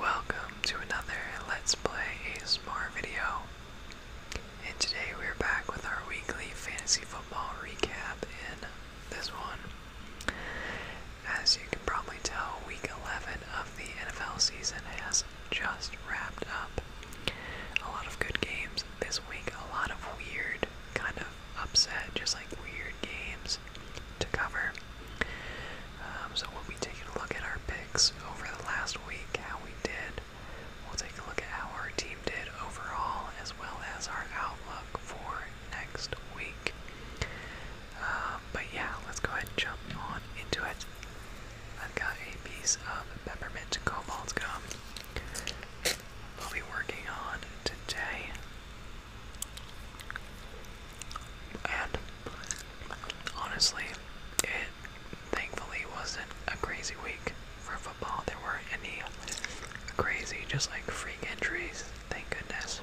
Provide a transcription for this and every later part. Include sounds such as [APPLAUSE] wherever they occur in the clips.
Welcome to another Let's Play a ASMR video. And today we're back with our weekly fantasy football recap in this one. As you can probably tell, week 11 of the NFL season has just wrapped up. A lot of good games this week, a lot of weird, kind of upset, just like weird games to cover. Um, so we'll be taking a look at our picks over the last week, how we did. We'll take a look at how our team did overall, as well as our outlook for next week. Um, but yeah, let's go ahead and jump on into it. I've got a piece of peppermint cobalt gum. We'll be working on today. And honestly, it thankfully wasn't a crazy week for football. There weren't any crazy, just like freak injuries. Thank goodness.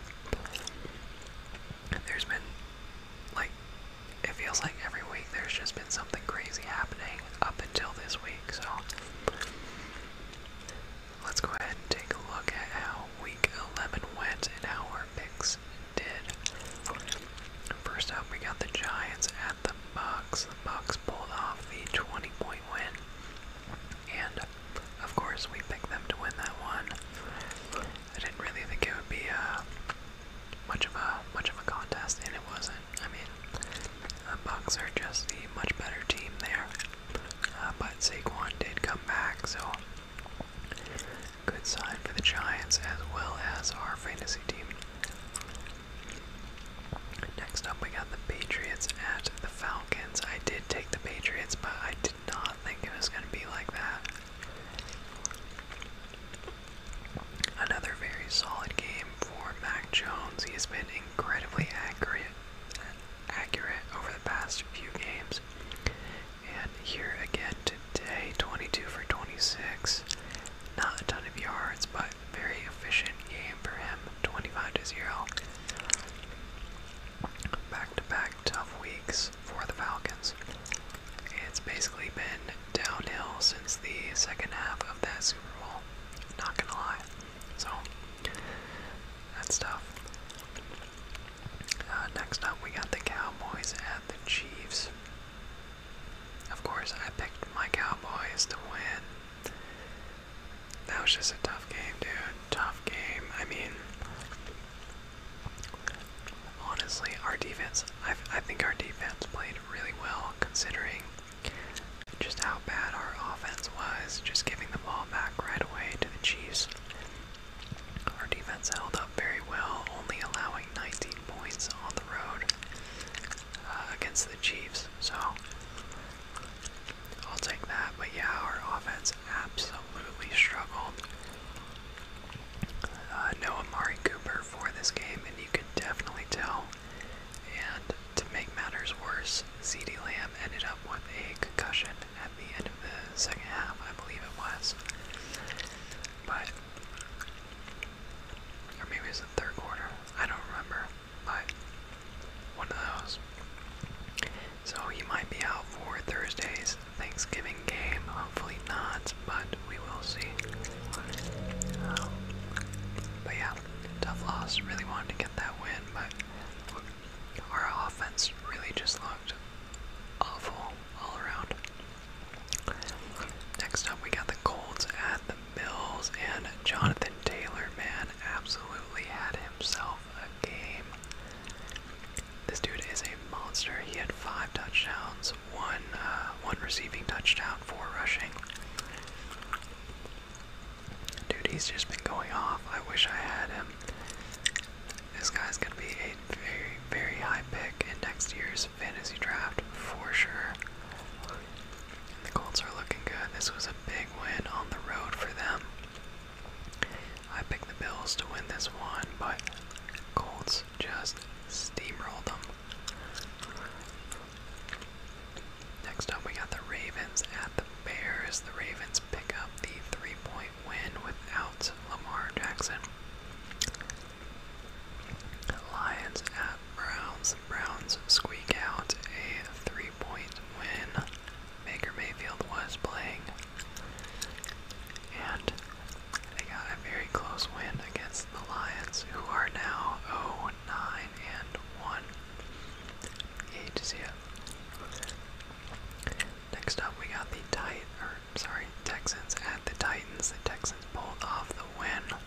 There's been, like, it feels like every week there's just been something crazy happening up until this week, so let's go ahead and take a look at how week 11 went and how our picks did. First up, we got the Giants at the Bucks. The Bucks pulled off the 20 point win. And of course, we picked them to win that one. I didn't really think it would be uh, much of a much of a contest, and it wasn't. I mean, the Bucks are just the much better team there. Uh, but Saquon did come back, so Good sign for the Giants as well as our fantasy team. Next up, we got the Patriots at the Falcons. I did take the Patriots, but I did not think it was going to be like that. Another very solid game for Mac Jones. He has been incredibly accurate, accurate over the past few games. And here again today, 22 for 26. Not a ton of yards, but very efficient game for him, 25 to 0. Back to back tough weeks for the Falcons. It's basically been downhill since the second half of that Super Bowl. Not gonna lie. So, that's tough. Uh, next up, we got the Cowboys at the Chiefs. Of course, I picked my Cowboys to win. That was just a tough game, dude. Tough game. I mean, honestly, our defense, I think our defense played really well considering just how bad our offense was, just giving the ball back right away to the Chiefs. Our defense held up very well, only allowing 19 points on the road uh, against the Chiefs. So I'll take that. But yeah, our offense absolutely struggled. Uh, no Amari Cooper for this game, and you could definitely tell. And to make matters worse, CeeDee Lamb ended up with a concussion at the end of the second half, I believe it was. But, or maybe it was the third quarter, I don't remember. But, one of those. So he might be out for Thursday's Thanksgiving game. Hopefully not, but we will see. Um, but yeah, tough loss. Really wanted to get that win, but our offense really just awful all around. Next up, we got the Colts at the Bills, and Jonathan Taylor, man, absolutely had himself a game. This dude is a monster. He had five touchdowns, one uh, one receiving touchdown, four rushing. Dude, he's just been going off. I wish I had him. This guy's going to be a very, very high pick in next year's fantasy draft for sure. The Colts are looking good. This was a big win on the road for them. I picked the Bills to win this one, but Colts just steamrolled them. Next up, we got the Ravens at the Bears. The Ravens pick up the three point win without Lamar Jackson. Lions at Browns. Browns squeak out a three point win. Baker Mayfield was playing. And they got a very close win against the Lions, who are now 0 9 1. You Next up, we got the Titan, or sorry, Texans at the Titans. The Texans pulled off the win.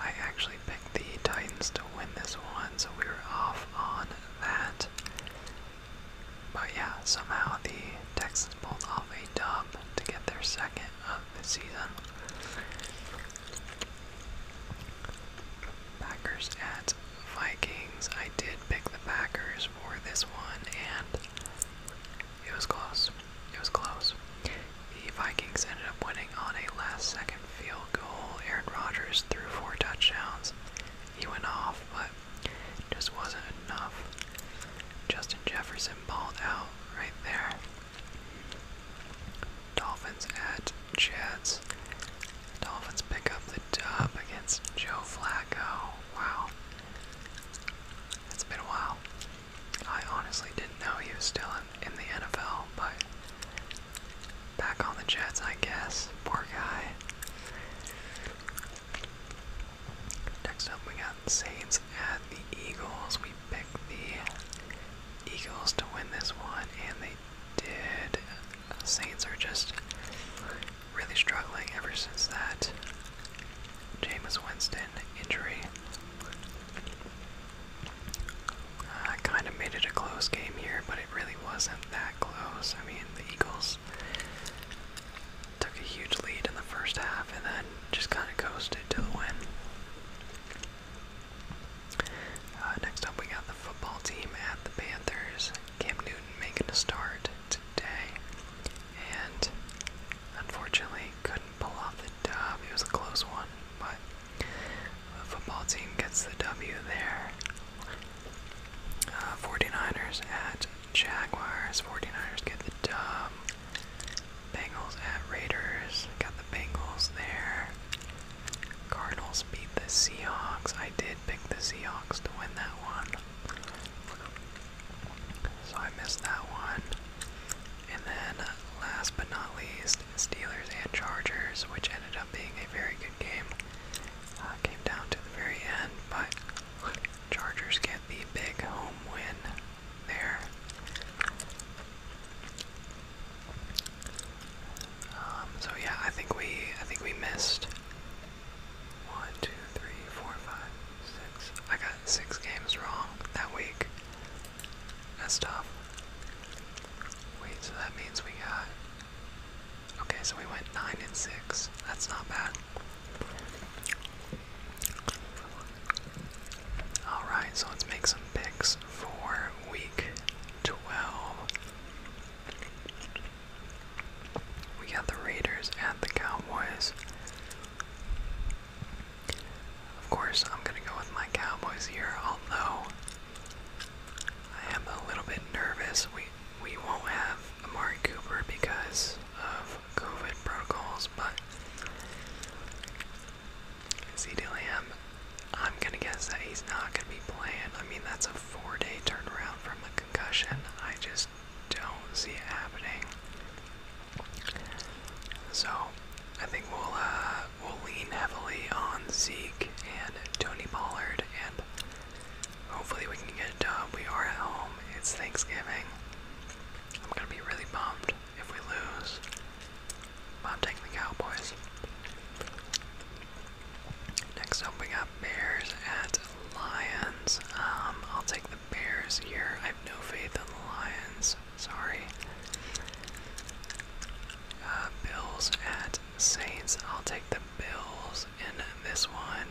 I actually picked the Titans to win this one, so we were off on that. But yeah, somehow the Texans pulled off a dub to get their second of the season. Packers at Vikings. I did pick the Packers for this one, and it was close. It was close. The Vikings ended up winning on a last second field goal. Aaron Rodgers threw four touchdowns. He went off, but just wasn't enough. Justin Jefferson balled out right there. Dolphins at Jets. Dolphins pick up the dub against Joe Flacco wow. It's been a while. I honestly didn't know he was still in, the NFL, but back on the Jets, I guess. Poor guy. Next up, we got Saints at the Eagles. We picked the Eagles to win this one, and they did. Saints are just really struggling ever since that Jameis Winston injury. I kind of made it a close game here, but it really wasn't that close. I mean, the Eagles took a huge lead in the first half and then just kind of coasted to the win. Uh, next up, we got the football team at the Panthers. Cam Newton making a start today and unfortunately couldn't pull off the dub. It was a close one, but the football team gets the W there. Uh, 49ers at Jaguars. 49ers get the dub. Bengals at Raiders. Got the Bengals there. Cardinals beat the Seahawks. I did pick the Seahawks to win that one. So I missed that one. And then, last but not least, Steelers and Chargers, which ended up being a very good game. Uh, came down to the very end, but Chargers get the big home win there. Um, so yeah, I think we I think we missed one, two, three, four, five, six. I got six games wrong that week. That's tough. Wait, so that means we got. Okay, so we went nine and six. That's not bad. Alright, so let's make some picks for week 12. We got the Raiders and the Cowboys. Of course, I'm going to go with my Cowboys here, although I am a little bit nervous. We we won't have Amari Cooper because of COVID protocols, but CD Lamb, I'm gonna guess that he's not gonna be playing. I mean, that's a four-day turnaround from a concussion. I just don't see it happening. So I think we'll uh, we'll lean heavily on Zeke and Tony Pollard, and hopefully we can get a dub. We are at home. It's Thanksgiving. I'm gonna be really bummed if we lose. But I'm taking the Cowboys. Next up, we got Bears at Lions. Um, I'll take the Bears here. I have no faith in the Lions. Sorry. Uh, bills at Saints. I'll take the Bills in this one.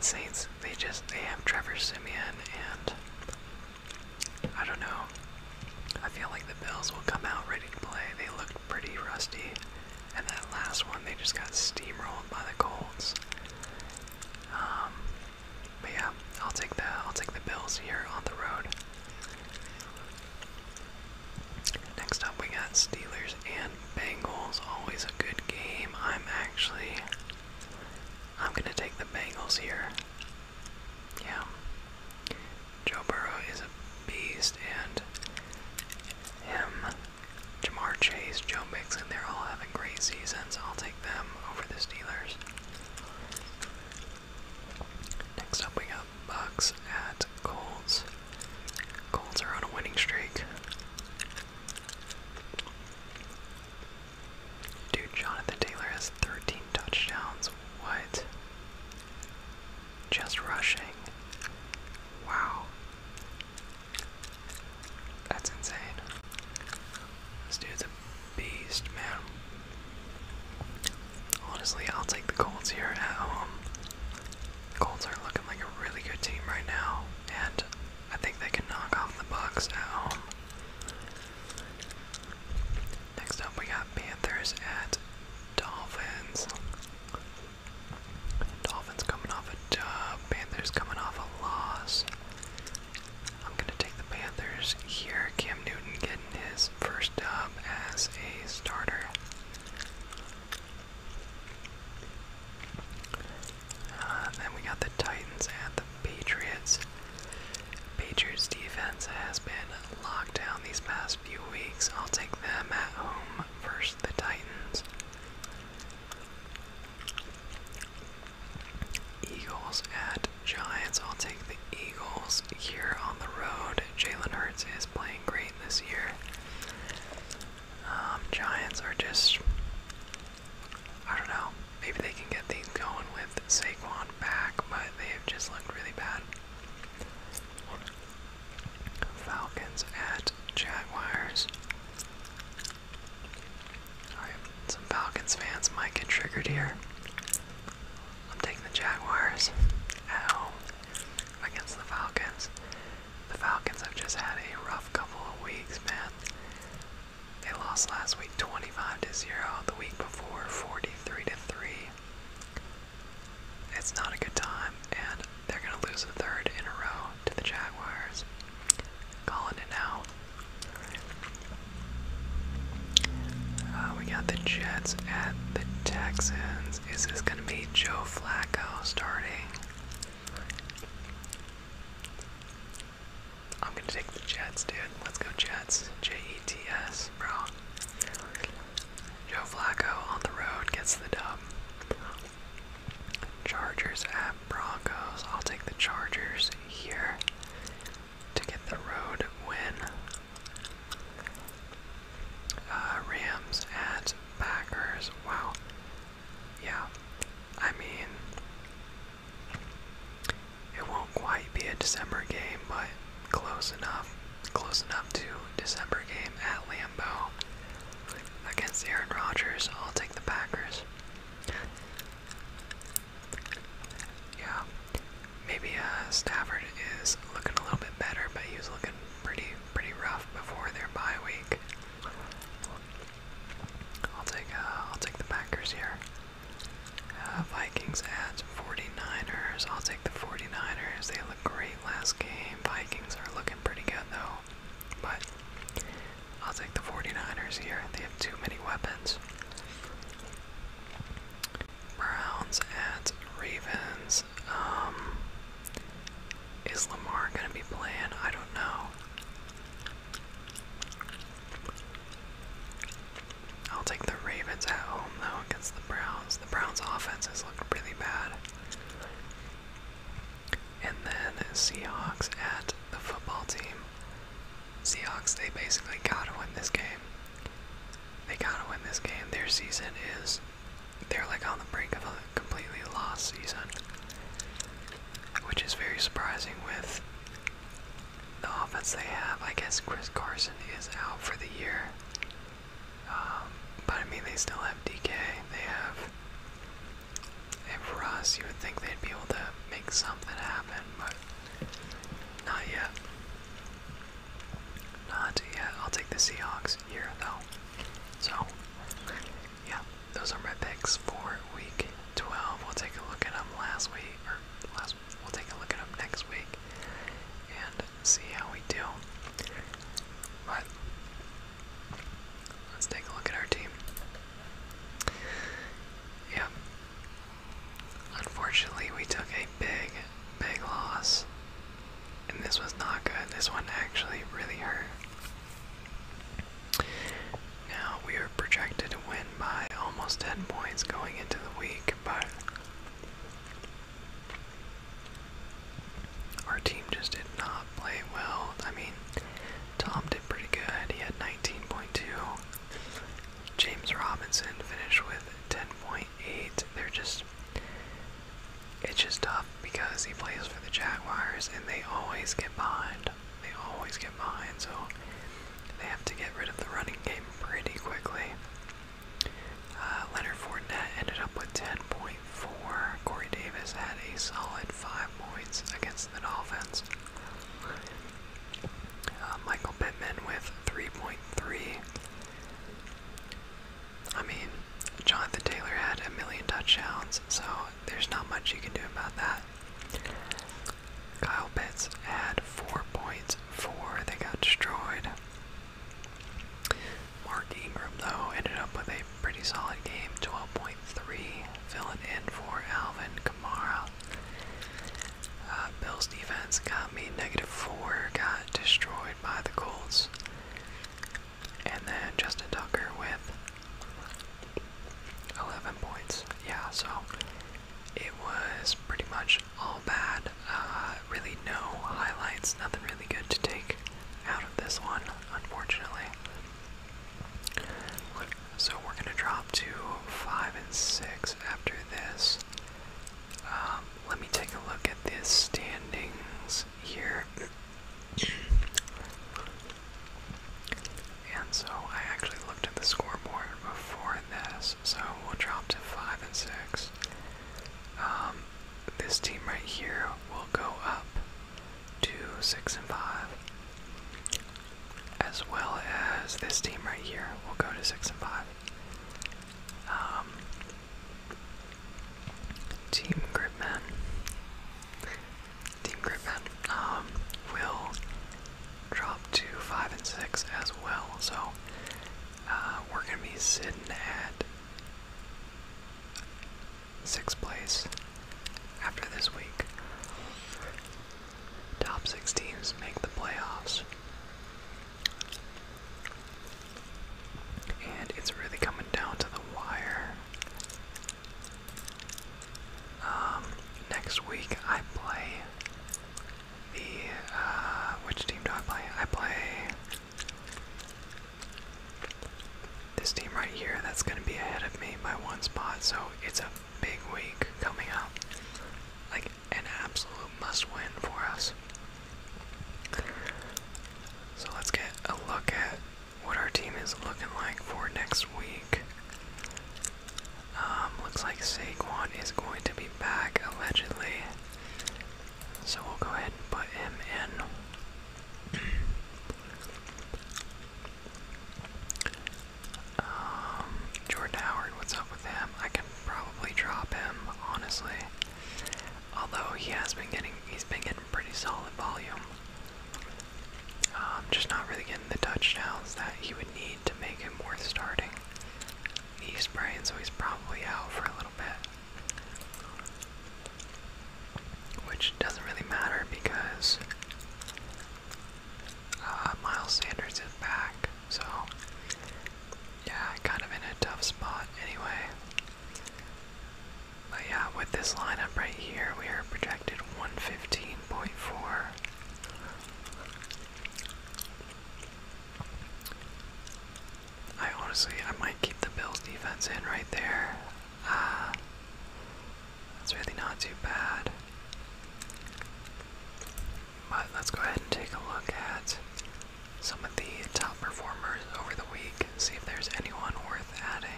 Saints, they just they have Trevor Simeon and I don't know. I feel like the Bills will come out ready to play. They look pretty rusty and that last one, they just got steamrolled by the Colts. Um, but yeah, I'll take the I'll take the Bills here on the road. Next up, we got Steelers and Bengals. Always a good game. I'm actually I'm gonna take the Bengals here. Yeah. Joe Burrow is a beast, and him Jamar Chase, Joe Mixon, they're all having great seasons. I'll take them over the Steelers. Next up, we got Bucks at Colts. Colts are on a winning streak. Dude, Jonathan Taylor has 13 touchdowns. What? Just rushing. Wow. That's insane. Let's do the beast, man. Honestly, I'll take the Colts here at home. The Colts are looking like a really good team right now, and I think they can knock off the Bucks at home. Next up, we got Panthers at Dolphins. Dolphins coming off a dub. Panthers coming off a loss. I'm going to take the Panthers here. Cam Newton getting his first dub as a starter. and uh, then we got the Titans at the Patriots. Patriots defense has been locked down these past few weeks. I'll take them at home first. the Titans. Eagles at Giants. I'll take the Eagles here on the road. Jalen Hurts is playing great this year. Um, Giants are just, I don't know, maybe they can get things going with Saquon back, but they have just looked really bad. Falcons at Jaguars. Alright, some Falcons fans might get triggered here. I'm taking the Jaguars at home against the Falcons. The Falcons have just had a rough couple of weeks, man. They lost last week 25 to 0, the week before 43 to 3. It's not a good time, and they're going to lose a third in a row to the Jaguars. Calling it now. Uh, we got the Jets at the Texans. Is this going to be Joe Flacco starting? I'm going to take the Jets, dude. Let's go Jets. J-E-T-S, bro. Joe Flacco on the road gets the dub. Chargers at Broncos. I'll take the Chargers here to get the road win. Uh, Rams at Packers. Wow. Yeah. I mean, it won't quite be a December game, but close enough. Close enough to December game at Lambeau against Aaron Rodgers. I'll take the Packers. Yeah, maybe uh, Stafford is looking a little bit better, but he was looking pretty pretty rough before their bye week. I'll take uh, I'll take the Packers here. Uh, Vikings at 49ers. I'll take the 49ers. They look great last game. Vikings are looking pretty good though. But I'll take the 49ers here. They have too many weapons. Browns at Ravens. Um, is Lamar going to be playing? I don't know. I'll take the Ravens at home though against the Browns. The Browns' offenses look really bad. And then Seahawks at the football team. Seahawks, they basically gotta win this game. They gotta win this game. Their season is. They're like on the brink of a completely lost season. Which is very surprising with the offense they have. I guess Chris Carson is out for the year. Um, but I mean, they still have DK. They have. If Russ, you would think they'd be able to make something happen, but not yet. Not yet. I'll take the Seahawks here, though. So, yeah, those are my picks for week 12. We'll take a look at them last week, or last. We'll take a look at them next week and see how we do. But Let's take a look at our team. Yeah. Unfortunately, we took a big, big loss. And this was not good. This one actually really hurt. Now, we are projected to win by almost 10 points going into the week, but our team just did not play well. I mean, Tom did pretty good. He had 19.2. James Robinson finished with 10.8. They're just. It's just tough because he plays for the Jaguars and they always get behind. They always get behind, so they have to get rid of the running game pretty quickly. Uh, Leonard Fournette ended up with 10 points. Corey Davis had a solid five points against the Dolphins. Uh, Michael Pittman with 3.3. I mean, Jonathan Taylor had a million touchdowns, so there's not much you can do about that. Kyle Pitts had four points, four. They got destroyed. Mark Ingram, though, ended up with a pretty solid game 12.3, filling in for Alvin Kamara. Uh, Bills defense got me negative 4, got destroyed by the Colts. And then Justin Tucker with 11 points. Yeah, so it was pretty much all bad. Uh, really, no highlights, nothing really good to take out of this one unfortunately. So we're going to drop to 5 and 6 after this. Um, let me take a look at this standings here. [CLEARS THROAT] And so I actually looked at the scoreboard before this, so we'll drop to 5 and 6. Um, this team right here will go up 2, 6, and 5. As well as this team right here will go to 6 and 5. Um, team Gridman. Team Gridman um, will drop to 5 and 6 as well. So uh, we're going to be sitting at sixth place after this week. Top six teams make the playoffs. And it's really coming down to the wire. Um, next week I play the, uh, which team do I play? I play this team right here, that's going to be ahead of me by one spot, so it's a big week coming up. Like an absolute must win for us. So let's get a look at what our team is looking like for next week. Um, looks like Saquon is going to be back allegedly. So we'll go ahead and put him in. Um, Jordan Howard, what's up with him? I can probably drop him, honestly. Although he has been getting, he's been getting pretty solid volume. Um, just not really getting the touchdowns that he would need to make him worth starting. He's sprained, so he's probably out for a little bit. Which doesn't really matter because uh, Miles Sanders is back, so yeah, kind of in a tough spot anyway. But yeah, with this lineup right here, we are projected 115.4. I honestly, I might keep the Bills defense in right there. Uh, [SIGHS] that's really not too bad. But let's go ahead and take a look at some of the top performers over the week, see if there's anyone worth adding.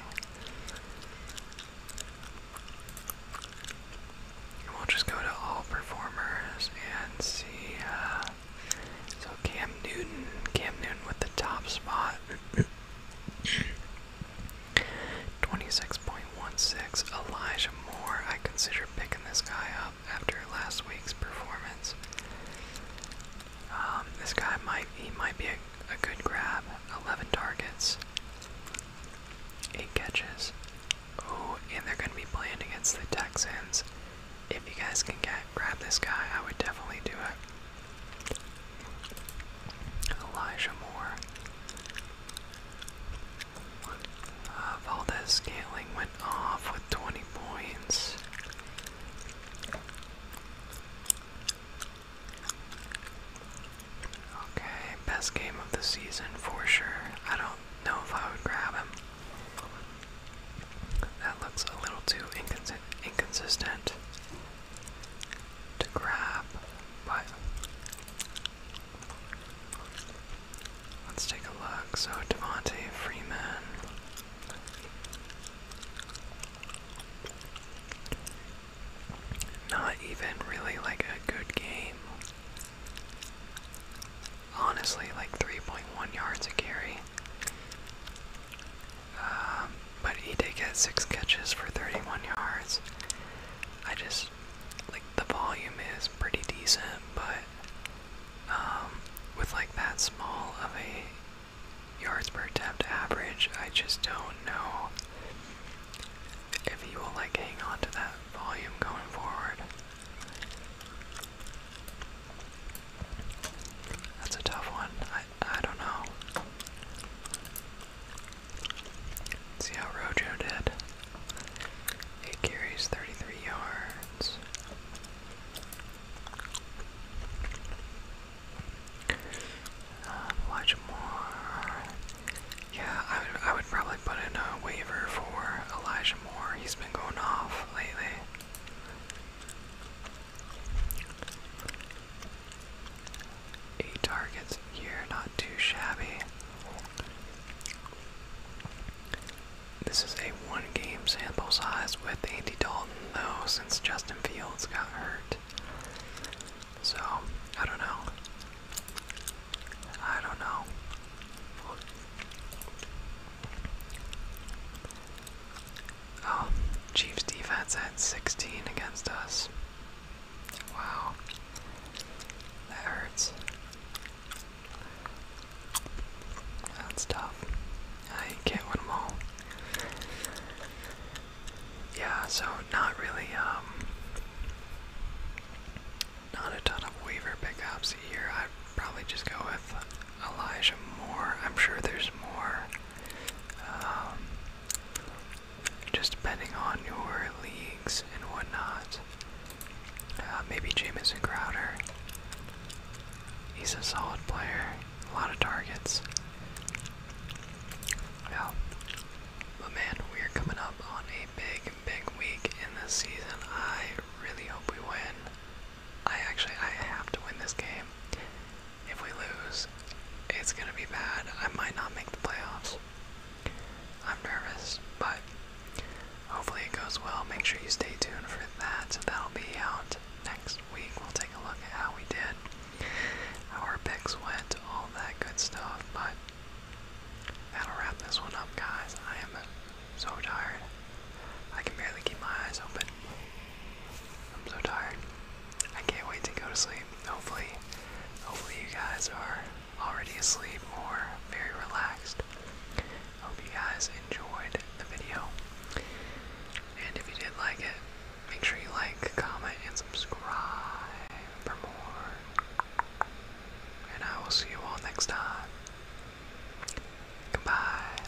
we'll just go to all performers and see. Uh, so Cam Newton, Cam Newton with the top spot. [CLEARS THROAT] 26.16 Elijah Moore. I consider picking this guy up after last week's performance. Um, this guy might he might be a, a good grab. 11 targets, 8 catches. Oh, and they're going to be playing against the Texans. If you guys can get grab this guy, I would definitely do it. Elijah Moore. Valdez Scantling went off with 20 points. Okay, best game of the season for sure. I don't know if I would grab him. That looks a little too inconsistent to grab, but let's take a look. So Devontae Freeman. Not even really like a good game. Honestly, like 3.1 yards a carry. Um, but he did get six catches for 31 yards. I just like the volume is pretty decent, but um, with like that small of a yards per attempt average, I just don't know if he will like hang on to that volume going forward. That's a tough one. I, don't know. see how Rojo did. Eight carries, 33 yards. Elijah uh, Moore. Yeah, I would, I would probably put in a waiver for Elijah Moore. He's been going off lately. Eight targets here, not too shabby. This is a one game sample size with Andy Dalton, though, since Justin Fields got hurt. So, I don't know. I don't know. Oh, Chiefs defense had 16 against us. Wow. That hurts. That's tough. I can't win them all. Yeah, so not really, um, not a ton of waiver pickups here. I'd probably just go with Elijah Moore. I'm sure there's more um, just depending on your leagues and whatnot. Uh, maybe Jamison Crowder. He's a solid player, a lot of targets. Yeah. But man, we are coming up on a big, big week in this season. I really hope we win. I actually I have to win this game. If we lose, it's going to be bad. I might not make the playoffs. I'm nervous, but hopefully it goes well. Make sure you stay tuned for that. That'll be out next week. We'll take a look at how we did, our picks went, all that good stuff. But that'll wrap this one up, guys. I am so tired. I can barely keep my eyes open. I'm so tired. I can't wait to go to sleep. Hopefully, hopefully you guys are already asleep or very relaxed. Hope you guys enjoyed the video. And if you did like it, make sure you like, comment, and subscribe for more. And I will see you all next time. Goodbye.